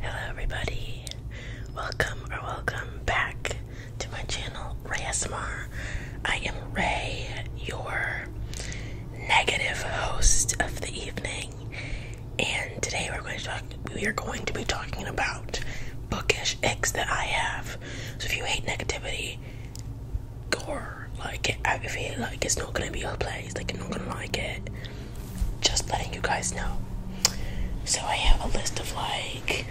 Hello everybody. Welcome or welcome back to my channel Ray ASMR. I am Ray, your negative host of the evening. And today we're going to talk we are going to be talking about bookish icks that I have. So if you hate negativity, gore like it if you like it's not gonna be your place, like you're not gonna like it just letting you guys know. So I have a list of like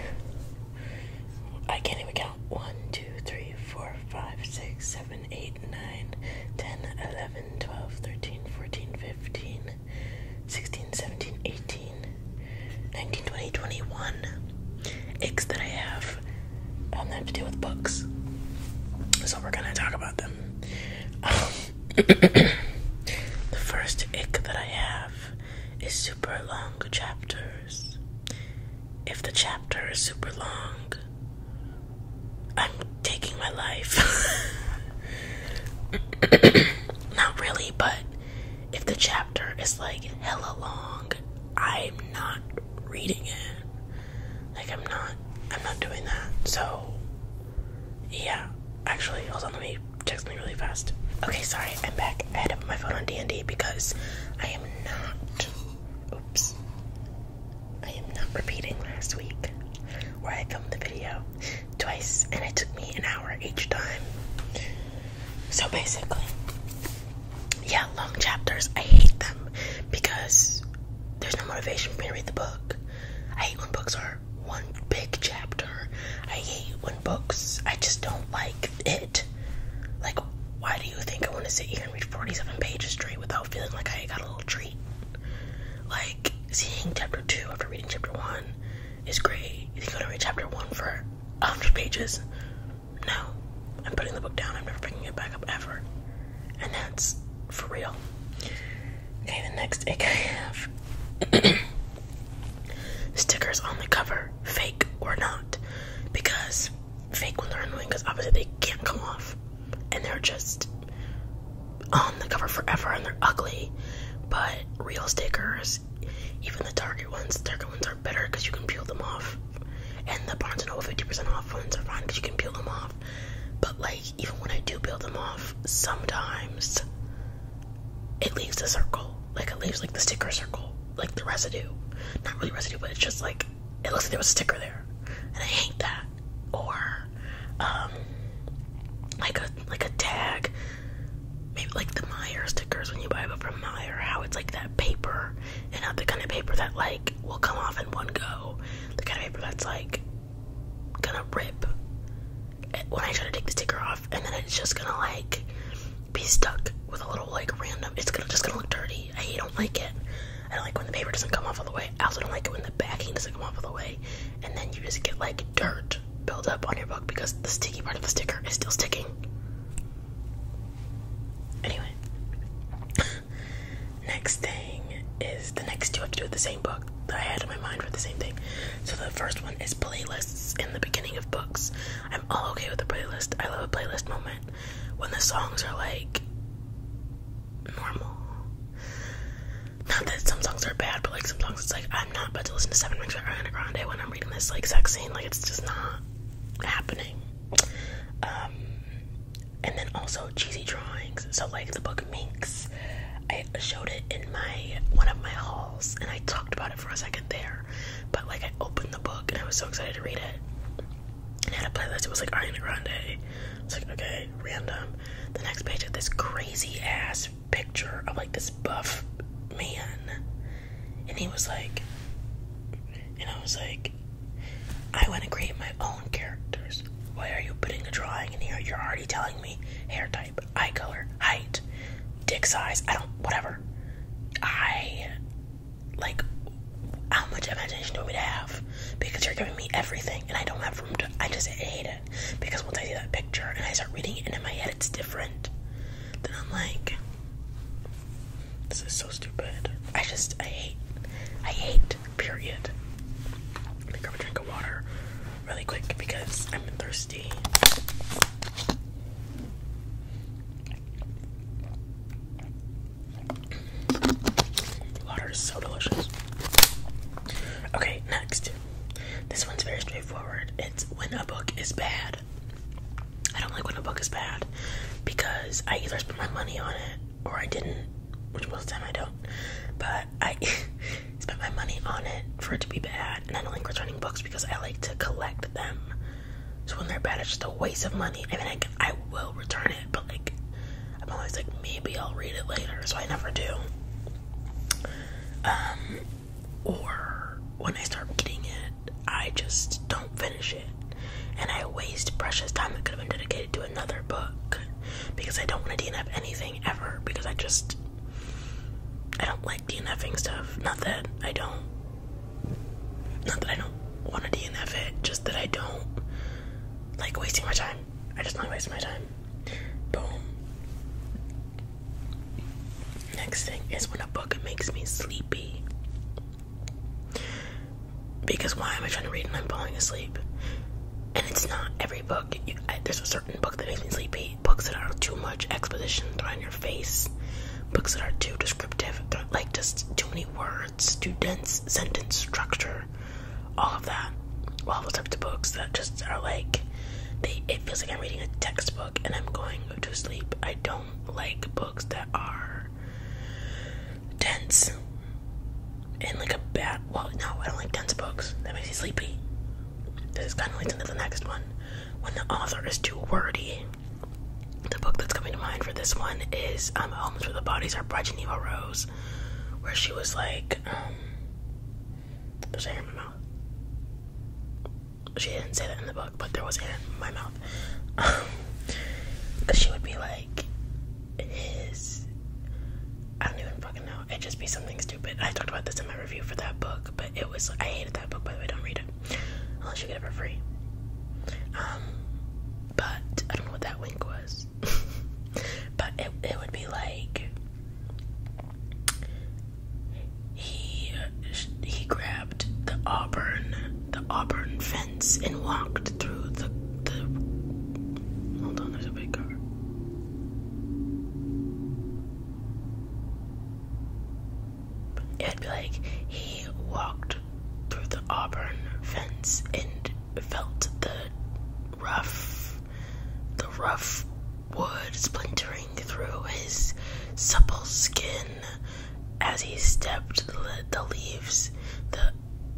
I can't even count. one, two, three, four, five, six, seven, eight, nine, ten, eleven, twelve, thirteen, fourteen, fifteen, sixteen, seventeen, eighteen, nineteen, twenty, twenty-one. X 3, 4, 5, that I have um, that have to do with books. So we're gonna talk about them. Um, the first ick that I have is super long chapters. If the chapter is super long, I'm taking my life. not really, but if the chapter is like hella long, I'm not reading it. Like I'm not I'm not doing that. So yeah, actually, hold on, let me text me really fast. Okay, sorry, I'm back. I had to put my phone on D&D because I am not, oops, I am not repeating last week where I filmed the video twice and it took me an hour each time. So basically, yeah, long chapters, I hate them because there's no motivation for me to read the book. I hate when books are one big chapter. I hate when books, I just don't like it. Like, why do you think I want to sit here and read 47 pages straight without feeling like I got a little treat? Like, seeing chapter 2 after reading chapter 1 is great. You think i going to read chapter 1 for 100 pages? No. I'm putting the book down, I'm never picking it back up ever and that's for real. Okay, the next egg have stickers on the cover, fake or not, because fake ones are annoying because obviously they can't come off, and they're just on the cover forever and they're ugly. But real stickers, even the Target ones, Target ones are better because you can peel them off, and the Barnes and Noble fifty percent off ones are fine because you can peel them off. But like even when I do build them off, sometimes it leaves a circle. Like it leaves like the sticker circle, like the residue. Not really residue, but it's just like it looks like there was a sticker there, and I hate that. Or um, like a like a tag, maybe like the Meyer stickers when you buy them from Meyer, how it's like that paper and not the kind of paper that like will come off in one go. The kind of paper that's like gonna rip when I try to take the sticker off, and then it's just gonna like be stuck with a little like random. It's gonna just gonna look dirty. I don't like it. I don't like when the paper doesn't come off all the way. I also don't like when the backing doesn't come off all the way, and then you just get like dirt build up on your book because the sticky part of the sticker is still sticking. Anyway, Next thing is the next two have to do with the same book that I had in my mind for the same thing. So the first one is playlists in the beginning of books. I'm all okay with a playlist. I love a playlist moment when the songs are like normal. Not that some songs are bad, but like some songs, it's like I'm not about to listen to Seven Rings by Ariana Grande when I'm reading this like sex scene. Like it's just not happening. Um, and then also cheesy drawings. So like the book Minx, I showed it in my one of my hauls, and I talked about it for a second there. But like I opened the book and I was so excited to read it. I had a playlist. It was like Ariana Grande. It's like okay, random. The next page had this crazy ass picture of like this buff man, and he was like, and I was like, I want to create my own characters. Why are you putting a drawing in here? You're already telling me hair type, eye color, height, dick size. I don't, whatever. I, like, how much imagination do we have? Because you're giving me everything, and I don't have room to. I just hate it. Because once I see that picture and I start reading it, and in my head it's different, then I'm like, this is so stupid. I just, I hate, I hate period. Let me grab a drink of water really quick because I'm thirsty. Water is so delicious. Okay, next. This one's very straightforward. It's when a book is bad. I don't like when a book is bad because I either spend my money on it or I didn't, which most of the time I don't. But I spent my money on it for it to be bad, and I don't like returning books because I like to collect them. So when they're bad, it's just a waste of money. I mean, I, can, I will return it, but like, I'm always like, maybe I'll read it later, so I never do. Um, or when I start getting it, I just don't finish it, and I waste precious time that could have been dedicated to do another book because I don't want to DNF anything ever because I just I don't like DNFing stuff. Not that I don't not that I don't want to DNF it, just that I don't like wasting my time. I just not waste my time. Boom. Next thing is when a book makes me sleepy. Because why am I trying to read and I'm falling asleep? And it's not every book. there's a certain book that makes me sleepy. Books that are too much exposition thrown in your face. Books that are too descriptive, like just too many words, too dense sentence structure, all of that. All those types of books that just are like, they it feels like I'm reading a textbook and I'm going to sleep. I don't like books that are dense and like a bad. Well, no, I don't like dense books. That makes me sleepy. This kind of leads into the next one. When the author is too wordy. The book that's coming to mind for this one is um, Homes Where the Bodies Are by Geneva Rose, where she was like, um, there's air in my mouth. She didn't say that in the book, but there was air in my mouth. Because she would be like, his I don't even fucking know. It'd just be something stupid. I talked about this in my review for that book, but it was I hated that book by the way, don't read it. Unless you get it for free. Um but I don't know what that wink was. but it it would be like he he grabbed the auburn the auburn fence and walked through the the Hold on, there's a big car. It'd be like he walked through the Auburn fence and felt the rough, the rough wood splintering through his supple skin as he stepped the, leaves,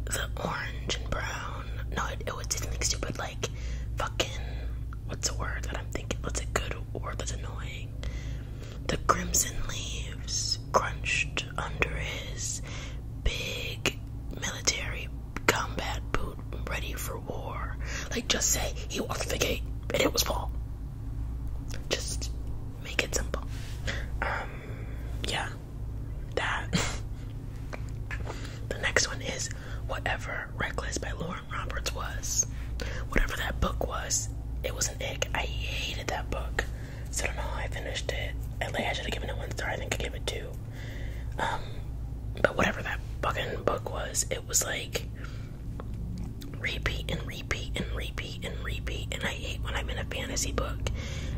the orange and brown. No, it, it did something stupid like fucking. What's a word that I'm thinking? What's a good word that's annoying? The crimson leaves crunched under his big military combat boot, ready for war. Like, just say he walked the gate and it was Paul. Just make it simple. Um, yeah that. the next one is Whatever Reckless by Lauren Roberts was. Whatever that book was, it was an ick. I hated that book. So I don't know how I finished it. I, like, I should have given it one star. I think I gave it two. Um, but whatever that fucking book was, it was like repeat and repeat and repeat and repeat. And I hate when I'm in a fantasy book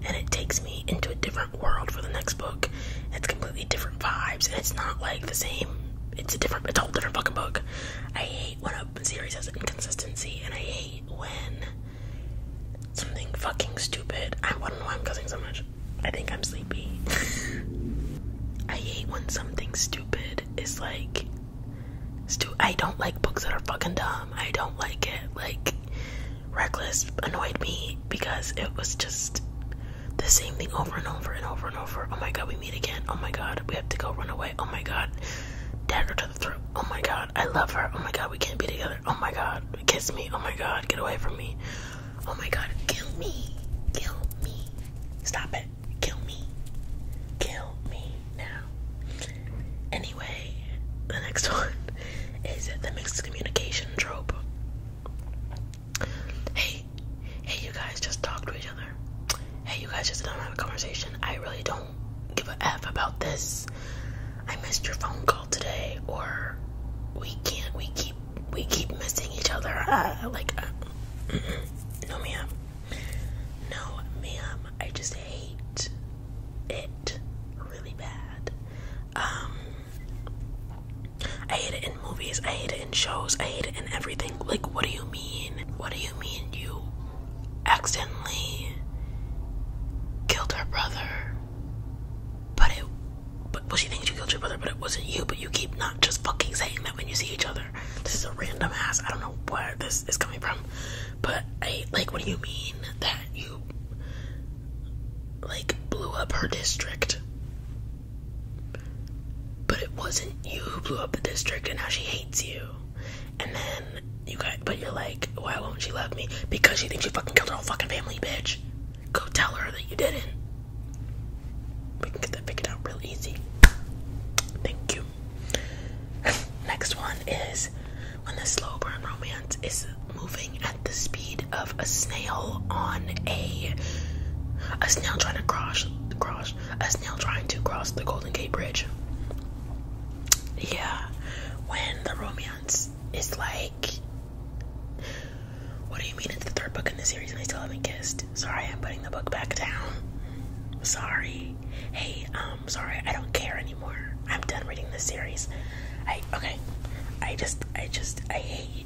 and it takes me into a different world for the next book. It's completely different vibes, and it's not like the same. It's a different, it's a whole different fucking book. I hate when a series has inconsistency, and I hate when something fucking stupid. I don't know why I'm cussing so much. I think I'm sleepy. I hate when something stupid is like. Stu I don't like books that are fucking dumb. I don't like it. Like, Reckless annoyed me because it was just the same thing over and over and over and over. Oh my god, we meet again. Oh my god, we have to go run away. Oh my god, dagger to the throat. Oh my god, I love her. Oh my god, we can't be together. Oh my god, kiss me. Oh my god, get away from me. Oh my god, kill me. Kill me. Stop it. Kill me. Kill me now. Anyway the next one is the mixed communication trope. Hey, hey, you guys just talk to each other. Hey, you guys just don't have a conversation. I really don't give a f about this. I missed your phone call today, or we can't. We keep we keep missing each other. Uh, like, uh, no, ma'am. No, ma'am. I just hate it really bad. Um, I hate it in movies. I hate it in shows. I hate it in everything. Like, what do you mean? What do you mean you accidentally killed her brother? But it, but well, she thinks you killed your brother, but it wasn't you. But you keep not just fucking saying that when you see each other. This is a random ass. I don't know where this is coming from, but hey, like. What do you mean that you like blew up her district. But it wasn't you who blew up the district and now she hates you. And then you got but you're like, why won't she love me? Because she thinks you fucking killed her whole fucking family, bitch. Go tell her that you didn't. We can get that figured out real easy. Thank you. Next one is when the slow burn romance is moving at the speed of a snail on a a snail trying to cross cross a snail trying to cross the Golden Gate Bridge. Yeah, when the romance is like what do you mean it's the third book in the series and I still haven't kissed? Sorry, I'm putting the book back down. Sorry. Hey, I'm um, sorry, I don't care anymore. I'm done reading this series. I okay. I just I just I hate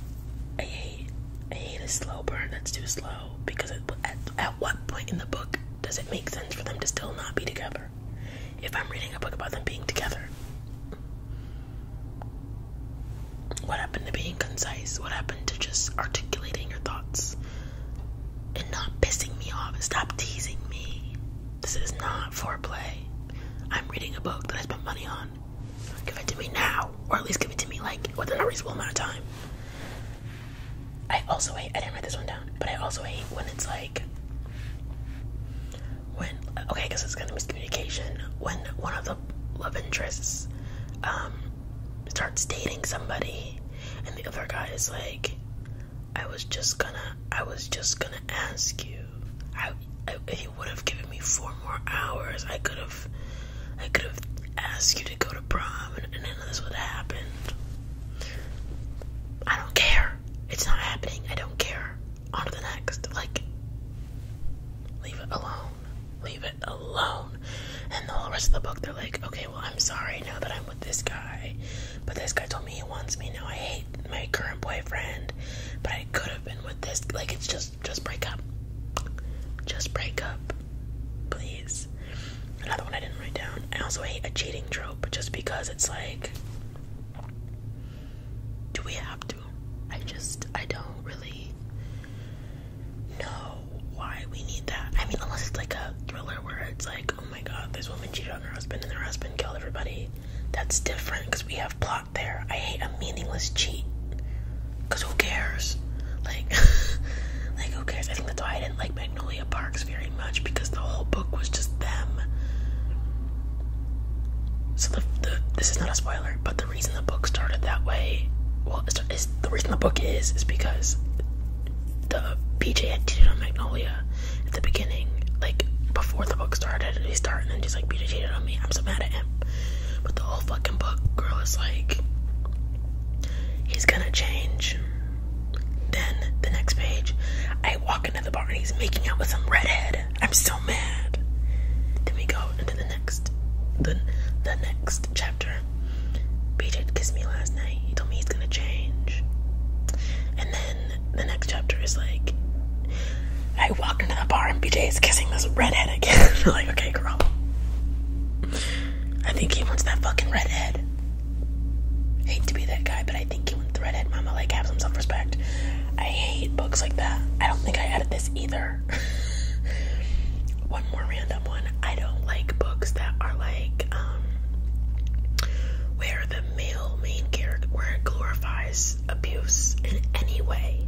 I hate I hate a slow burn that's too slow because at at what point in the book does it make sense for them to still not be together? If I'm reading a book about them being together. What happened to being concise? What happened to just articulating your thoughts and not pissing me off? Stop teasing me. This is not foreplay. I'm reading a book that I spent money on. Give it to me now, or at least give it to me like within a reasonable amount of time. I also hate. I didn't write this one down, but I also hate when it's like when. Okay, because guess it's kind of miscommunication when one of the love interests um, starts dating somebody, and the other guy is like, I was just gonna, I was just gonna ask you. I, he would have given me four more hours. I could have, I could have asked you to go to prom, and, and none of this would have happened. I don't care. It's not happening. I don't care. On to the next. Like, leave it alone. Leave it alone. And the whole rest of the book, they're like, okay, well, I'm sorry now that I'm with this guy, but this guy told me he wants me. Now I hate my current boyfriend, but I could have been with this. Like it's just just break up. Just break up. Please. Another one I didn't write down. I also hate a cheating trope just because it's like do we have to? I just I don't really know why we need that. I mean unless it's like a thriller where it's like, oh my god, this woman cheated on her husband and her husband killed everybody. That's different because we have plot there. I hate a meaningless cheat. Cause who cares? Like, like who cares? I think that's why I didn't like Magnolia Parks very much because the whole book was just them. So the, the this is not a spoiler, but the reason the book started that way, well, the reason the book is is because the PJ had cheated on Magnolia, at the beginning, like before the book started, and he started and then just like Peter cheated on me. I'm so mad at him. But the whole fucking book, girl, is like he's gonna change. Then the next page, I walk into the bar and he's making out with some redhead. I'm so mad. Then we go into the next, then the next chapter. BJ kissed me last night. He told me he's gonna change. And then the next chapter is like, I walked into the bar and BJ is kissing this redhead again. like, okay, girl. I think he wants that fucking redhead. I hate to be that guy, but I think he wants the redhead mama. Like, have some self respect. I hate books like that. I don't think I added this either. one more random one. I don't like books that are like, um, where the the male main character where it glorifies abuse in any way.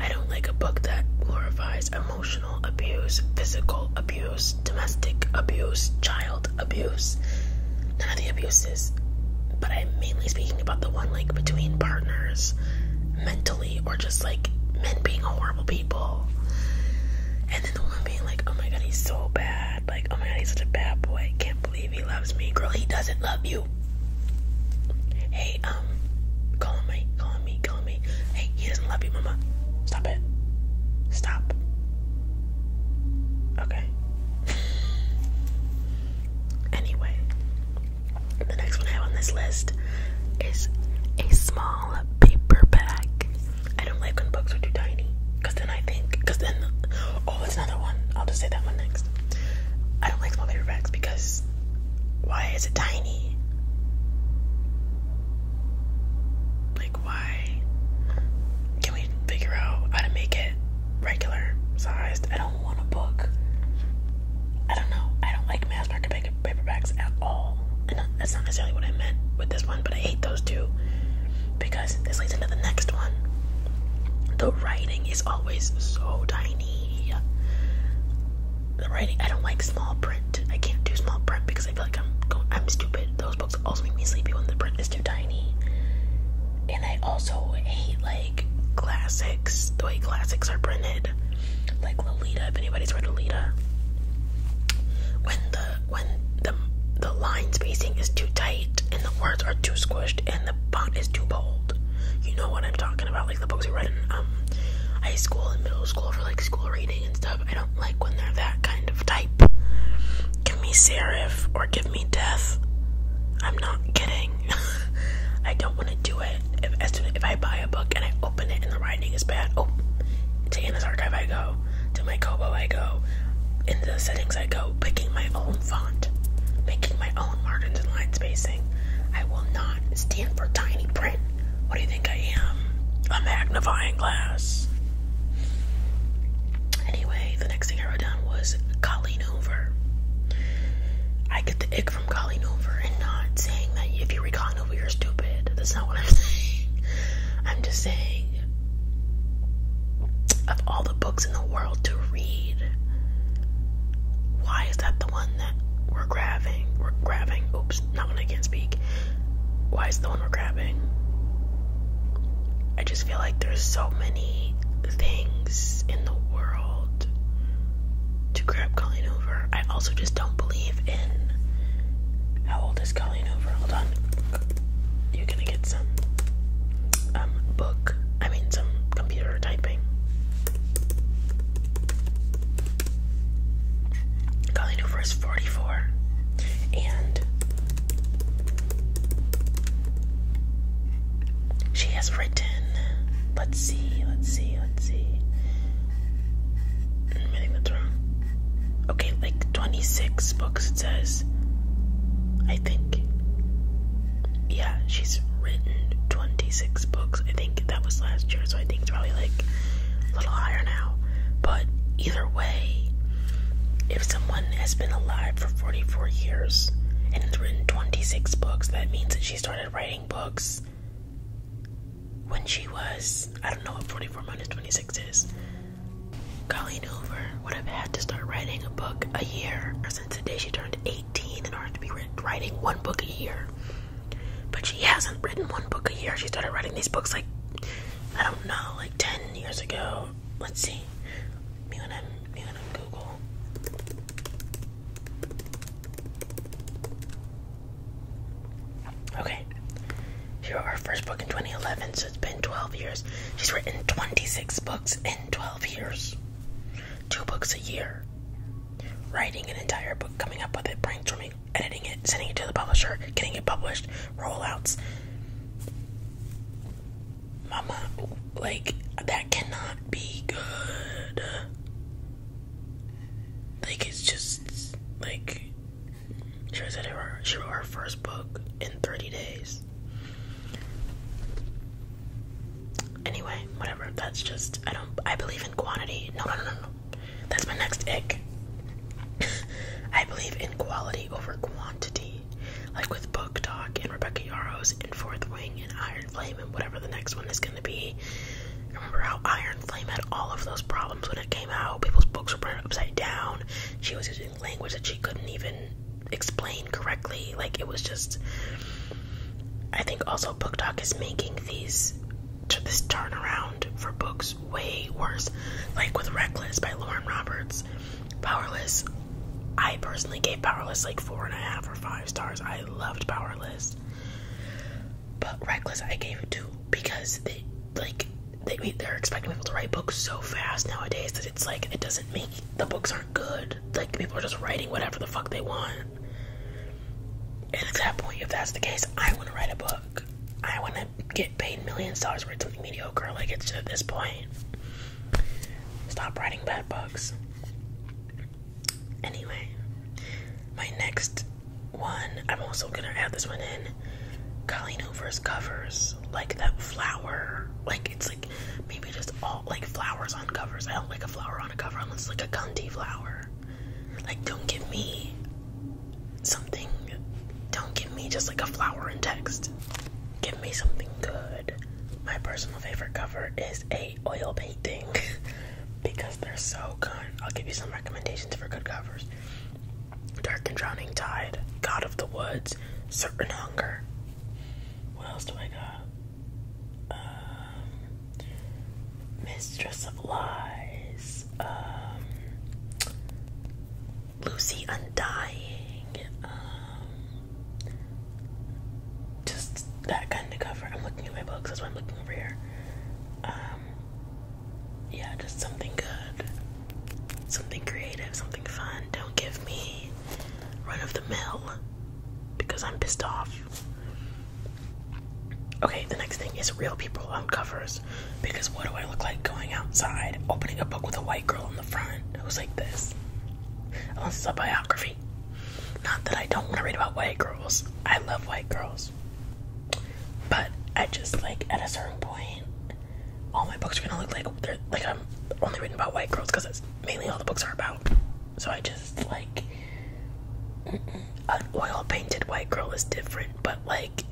I don't like a book that glorifies emotional abuse, physical abuse, domestic abuse, child abuse. None of the abuses, but I'm mainly speaking about the one like between partners, mentally, or just like men being horrible people. And then the woman being like, oh my god, he's so bad. Like, oh my god, he's such a bad boy. Can't believe he loves me. Girl, he doesn't love you. Hey, um, call me, call me, call me. Hey, he doesn't love you, mama. Stop it. Stop. Okay. anyway, the next one I have on this list is a small paper bag. I don't like when books are too tiny, cause then I think, cause then, Oh, it's another one. I'll just say that one next. I don't like small paper bags because why is it tiny? Like, why? Can we figure out how to make it regular sized? I don't want a book. I don't know. I don't like mass market paperbacks at all. that's not necessarily what I meant with this one, but I hate those two because this leads into the next one. The writing is always so tiny. The writing, I don't like small print. I can't do small print because I feel like I'm I'm stupid. Those books also make me sleepy when the print is too tiny. And I also hate like classics, the way classics are printed, like Lolita. If anybody's read Lolita, when the when the the line spacing is too tight and the words are too squished and the font is too bold. You know what I'm talking about, like the books you read in um high school and middle school for like school reading and stuff. I don't like when they're that kind of type. Give me serif or give me death. I'm not kidding. I don't want to do it. If as soon if I buy a book and I open it and the writing is bad, oh, to Anna's archive I go. To my Kobo I go. In the settings I go picking my own font. Making my own margins and line spacing. I will not stand for tiny print. What do you think I am? A magnifying glass. Anyway, the next thing I wrote down was Colleen Hoover. I get the ick from Colleen Hoover and not saying that if you read Colleen Hoover, you're stupid. That's not what I'm saying. I'm just saying of all the books in the world to read, why is that the one that we're grabbing? We're grabbing. Oops, not when I can't speak. Why is the one we're grabbing? I just feel like there's so many things in the world to grab Colleen over. I also just don't believe in. How old is Colleen over? Hold on you're gonna get some um, book I mean some computer typing calling over 44 and she has written let's see let's see let's see mm, I think that's wrong okay like 26 books it says I think. Yeah, she's written 26 books. I think that was last year, so I think it's probably like a little higher now. But either way, if someone has been alive for 44 years and has written 26 books, that means that she started writing books when she was, I don't know what 44 minus 26 is. Colleen Hoover would have had to start writing a book a year. Since the day she turned 18, in order to be writing one book a year. But she hasn't written one book a year. She started writing these books like, I don't know, like 10 years ago. Let's see. Me when I'm Google. Okay. She wrote her first book in 2011, so it's been 12 years. She's written 26 books in 12 years, two books a year. Writing an entire book, coming up with it, brainstorming, editing it, sending it to the publisher, getting it published, rollouts. Mama, like, that cannot be good. Like, it's just, like, she said her, she wrote her first book in 30 days. Anyway, whatever. That's just I don't. I believe in quantity. No, no, no, no. no. That's my next ick. I believe in quality over quantity, like with Book Talk and Rebecca Yarros and Fourth Wing and Iron Flame and whatever the next one is going to be. Remember how Iron Flame had all of those problems when it came out? People's books were printed upside down. She was using language that she couldn't even explain correctly. Like it was just. I think also book talk is making these this turnaround for books way worse. Like with Reckless by Lauren Roberts, Powerless. I personally gave Powerless like four and a half or five stars. I loved Powerless, but Reckless I gave it two because they like they, are expecting people to write books so fast nowadays that it's like it doesn't make the books aren't good. Like people are just writing whatever the fuck they want. And at that point, if that's the case, I want to write a book. I want to get paid millions of dollars to write something mediocre. Like it's at this point, stop writing bad books. Anyway, my next one, I'm also gonna add this one in Colleen Hoover's covers, like that flower, like it's like maybe just all like flowers on covers. I don't like a flower on a cover unless like a Gundy flower. Like, don't give me something, don't give me just like a flower and text. Give me something good. My personal favorite cover is a oil painting because they're so good. I'll give you some recommendations for good covers. Dark and Drowning Tide, God of the Woods, Certain Hunger. What else do I got? Um, mistress of Lies, um, Lucy Undying, um, just that kind of cover. I'm looking at my books, that's I'm looking over here. yeah, just something good something creative, something fun. Don't give me run of the mill because I'm pissed off. Okay, the next thing is real people on covers because what do I look like going outside, opening a book with a white girl on the front was like this? Unless it's a biography. Not that I don't want to read about white girls. I love white girls. But I just like at a certain point, all my books are gonna look like they're like I'm only written about white girls because that's mainly all the books are about. So I just like an oil painted white girl is different, but like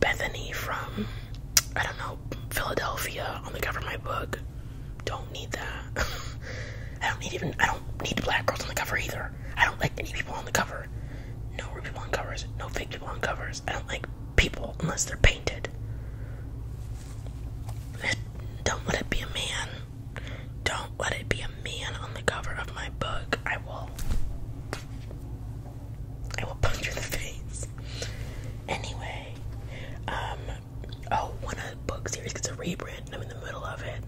Bethany from I don't know Philadelphia on the cover of my book. Don't need that. I don't need even I don't need black girls on the cover either. I don't like any people on the cover. No real people on covers. No fake people on covers. I don't like people unless they're painted. Don't let it be a man. Don't let it be a man on the cover of my book. I will. I will punch you in the face. Anyway, um, oh, one of book series gets a rebrand, I'm in the middle of it.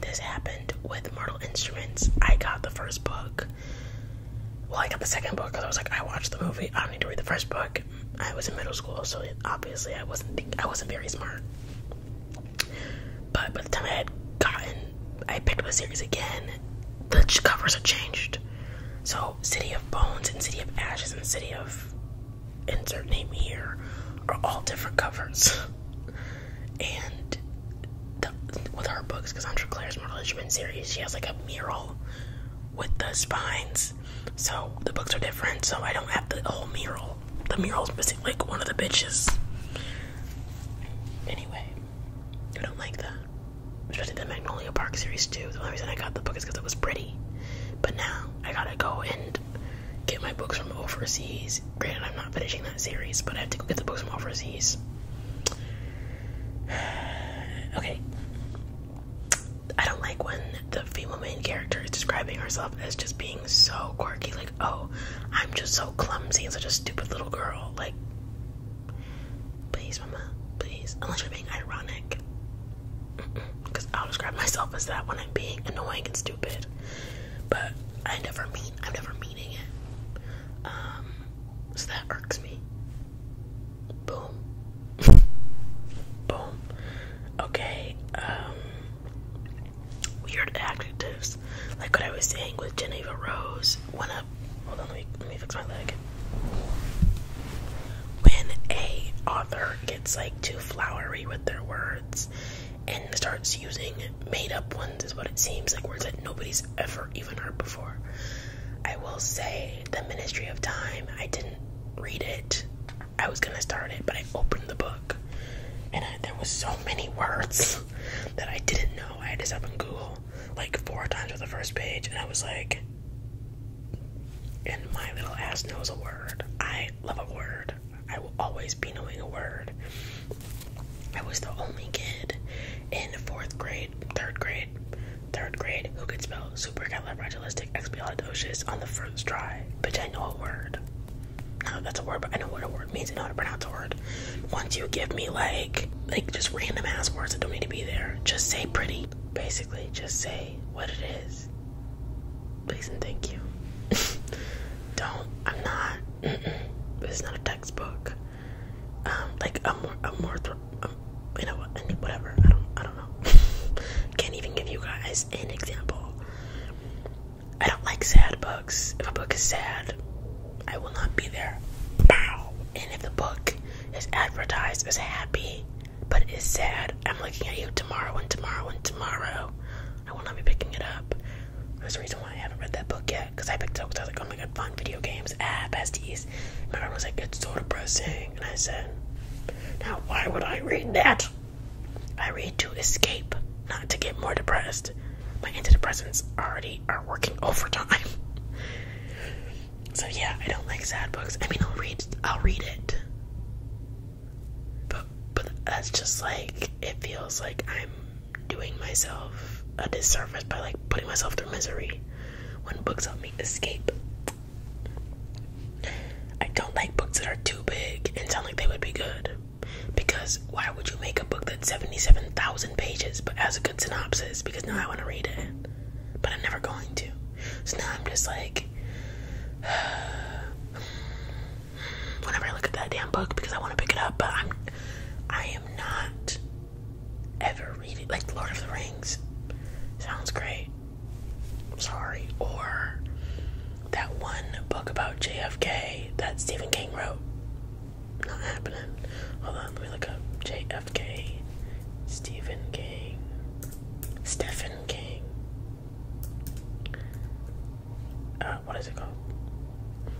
This happened with Mortal Instruments. I got the first book, well, I got the second book because I was like, I watched the movie. I don't need to read the first book. I was in middle school, so obviously I wasn't I wasn't very smart. But by the time I had gotten, I picked up the series again. The covers had changed. So, City of Bones and City of Ashes and City of Insert Name Here are all different covers. and with her books, because Cassandra Clare's Mortal Instrument series, she has like a mural with the spines. So the books are different, so I don't have the whole mural. The mural's missing like one of the bitches. Anyway, I don't like that. Especially the Magnolia Park series too. The only reason I got the book is because it was pretty. But now I gotta go and get my books from overseas. Granted, I'm not finishing that series, but I have to go get the books from overseas. Okay. I don't like when the female main character is describing herself as just being so quirky, like, oh, I'm just so clumsy and such a stupid little girl. Like, please, mama, please. Unless you're being ironic. Because I'll describe myself as that when I'm being annoying and stupid. But I never mean, I'm never meaning it. Um, so that irks me. Boom. Boom. Okay, um, weird adjectives. Like what I was saying with Geneva Rose. When a hold on, let me let me fix my leg. When a author gets like too flowery with their words and starts using made up ones is what it seems like words that nobody's ever even heard before. I will say The Ministry of Time, I didn't read it. I was gonna start it, but I opened the book and there was so many words that I didn't know. I had to stop on Google like four times for the first page, and I was like, and my little ass knows a word. I love a word. I will always be knowing a word. I was the only kid in fourth grade third grade, third grade, who could spell supercalifragilisticexpialidocious on the first try? Bitch, I know a word. No, that's a word, but I know what a word means. I know how to pronounce a word. Once you give me like, like just random ass words that don't need to be there, just say pretty. Basically, just say what it is. Please and thank you. don't. I'm not. Mm This is not a textbook. Um, like a more, a more, um, you know, whatever. I don't, I don't know. Can't even give you guys an example. I don't like sad books. If a book is sad, I will not be there. And if the book is advertised as happy but is sad, I'm looking at you tomorrow and tomorrow and tomorrow. I will not be picking it up. That's the reason why I haven't read that book yet because I picked up because I was like, oh my god, fun video games, ah, besties. my mom was like, it's so depressing. And I said, now why would I read that? I read to escape, not to get more depressed. My antidepressants already are working overtime. so yeah, I don't like sad books. I mean, I'll read, I'll read it. But but that's just like it feels like I'm doing myself a disservice by like putting myself through misery when books help me escape. I don't like books that are too big and sound like they would be good. Because why would you make a book that's 77,000 pages but has a good synopsis? Because now I want to read it. But I'm never going to. So now I'm just like. Whenever I look at that damn book because I want to pick it up, but I'm. I am not ever read it. Like Lord of the Rings. Sounds great. Sorry. Or that one book about JFK that Stephen King wrote. Not happening. Hold on, let me look up JFK. Stephen King. Stephen King. Uh, what is it called?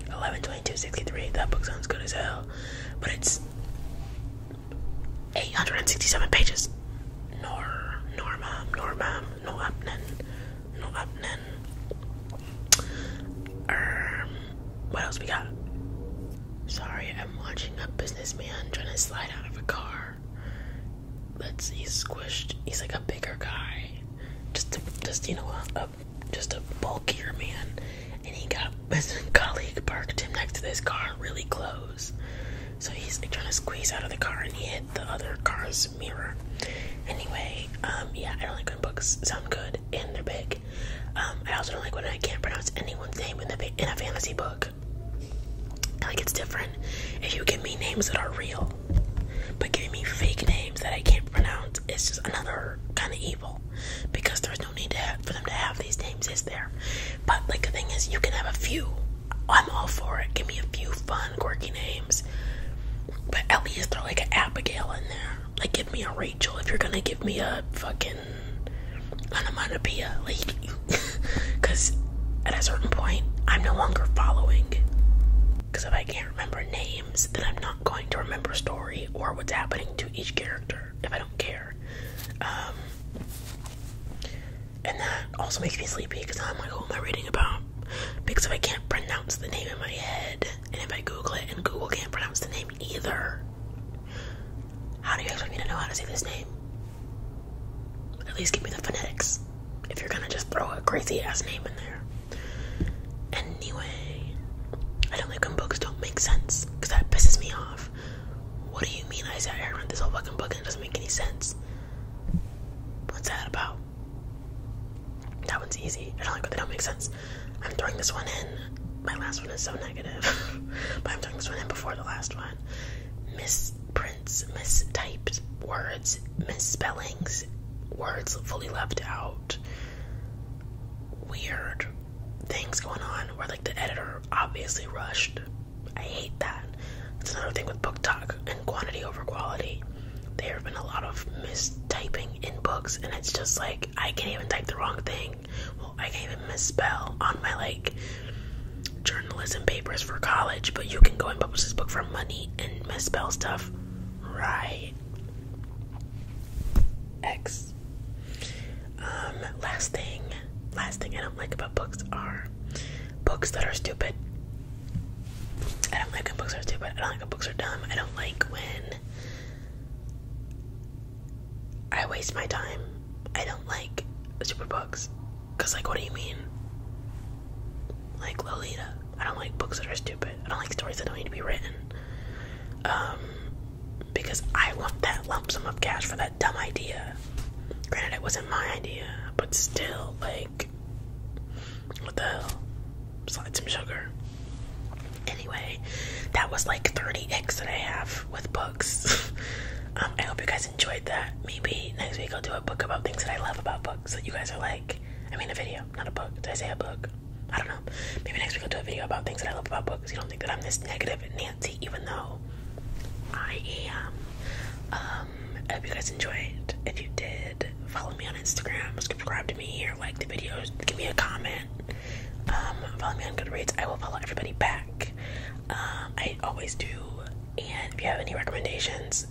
112263. That book sounds good as hell but it's 867 pages. Nor, Norma, Norma, no upnan, Um, what else we got? Sorry, I'm watching a businessman trying to slide out of a car. Let's, he's squished, he's like a bigger guy. Just, just you know, a, just a bulkier man, and he got his colleague parked him next to this car really close. So he's like, trying to squeeze out of the car, and he hit the other car's mirror. Anyway, um, yeah, I don't like when books sound good and they're big. Um, I also don't like when I can't pronounce anyone's name in the in a fantasy book. I like it's different if you give me names that are real, but give me fake names that I can't pronounce it's just another kind of evil because there's no need for them to have these names, is there? But like the thing is, you can have a few. I'm all for it. Give me a few fun, quirky names. But at least throw like an Abigail in there. Like give me a Rachel if you're gonna give me a fucking onomatopoeia. Like, because at a certain point, I'm no longer following. Because if I can't remember names, then I'm not going to remember story or what's happening to each character if I don't care. Um, and that also makes me sleepy because I'm like, who am I reading about? Because if I can't pronounce the name in my head, and if I Google it and Google can't pronounce the name either, how do you expect me to know how to say this name? At least give me the phonetics if you're gonna just throw a crazy ass name in there. Anyway, I don't like when books don't make sense because that pisses me off. What do you mean I sat here and this whole fucking book and it doesn't make any sense? What's that about? That one's easy. I don't like when they don't make sense. I'm throwing this one in. My last one is so negative. but I'm throwing this one in before the last one. Misprints, mistyped words, misspellings, words fully left out, weird things going on where like the editor obviously rushed. I hate that. That's another thing with book talk and quantity over quality. There have been a lot of mistyping in books, and it's just like I can't even type the wrong thing. Well, I can't even misspell on my like journalism papers for college, but you can go and publish this book for money and misspell stuff. Right. X. Um, last thing, last thing I don't like about books are books that are stupid. I don't like when books are stupid. I don't like when books are dumb. I don't like when I waste my time. I don't like super books. Cause like, what do you mean? Like Lolita. I don't like books that are stupid. I don't like stories that don't need to be written. Um, because I want that lump sum of cash for that dumb idea. Granted, it wasn't my idea, but still, like, what the hell? Slide some sugar. Anyway, that was like 30x that I have with books. Um, I hope you guys enjoyed that. Maybe next week I'll do a book about things that I love about books that you guys are like. I mean, a video, not a book. Did I say a book? I don't know. Maybe next week I'll do a video about things that I love about books. You don't think that I'm this negative Nancy, even though I am. Um, I hope you guys enjoyed. If you did, follow me on Instagram, subscribe to me, here. like the videos, give me a comment. Um, follow me on Goodreads. I will follow everybody back. Um, I always do. And if you have any recommendations,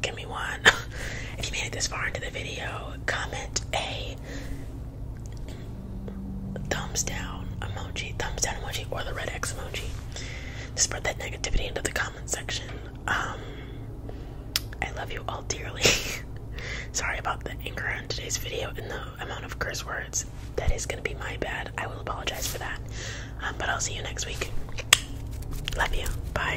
give me one. if you made it this far into the video, comment a thumbs down emoji, thumbs down emoji, or the red X emoji to spread that negativity into the comment section. Um, I love you all dearly. Sorry about the anger in today's video and the amount of curse words. That is going to be my bad. I will apologize for that. Um, but I'll see you next week. Love you. Bye.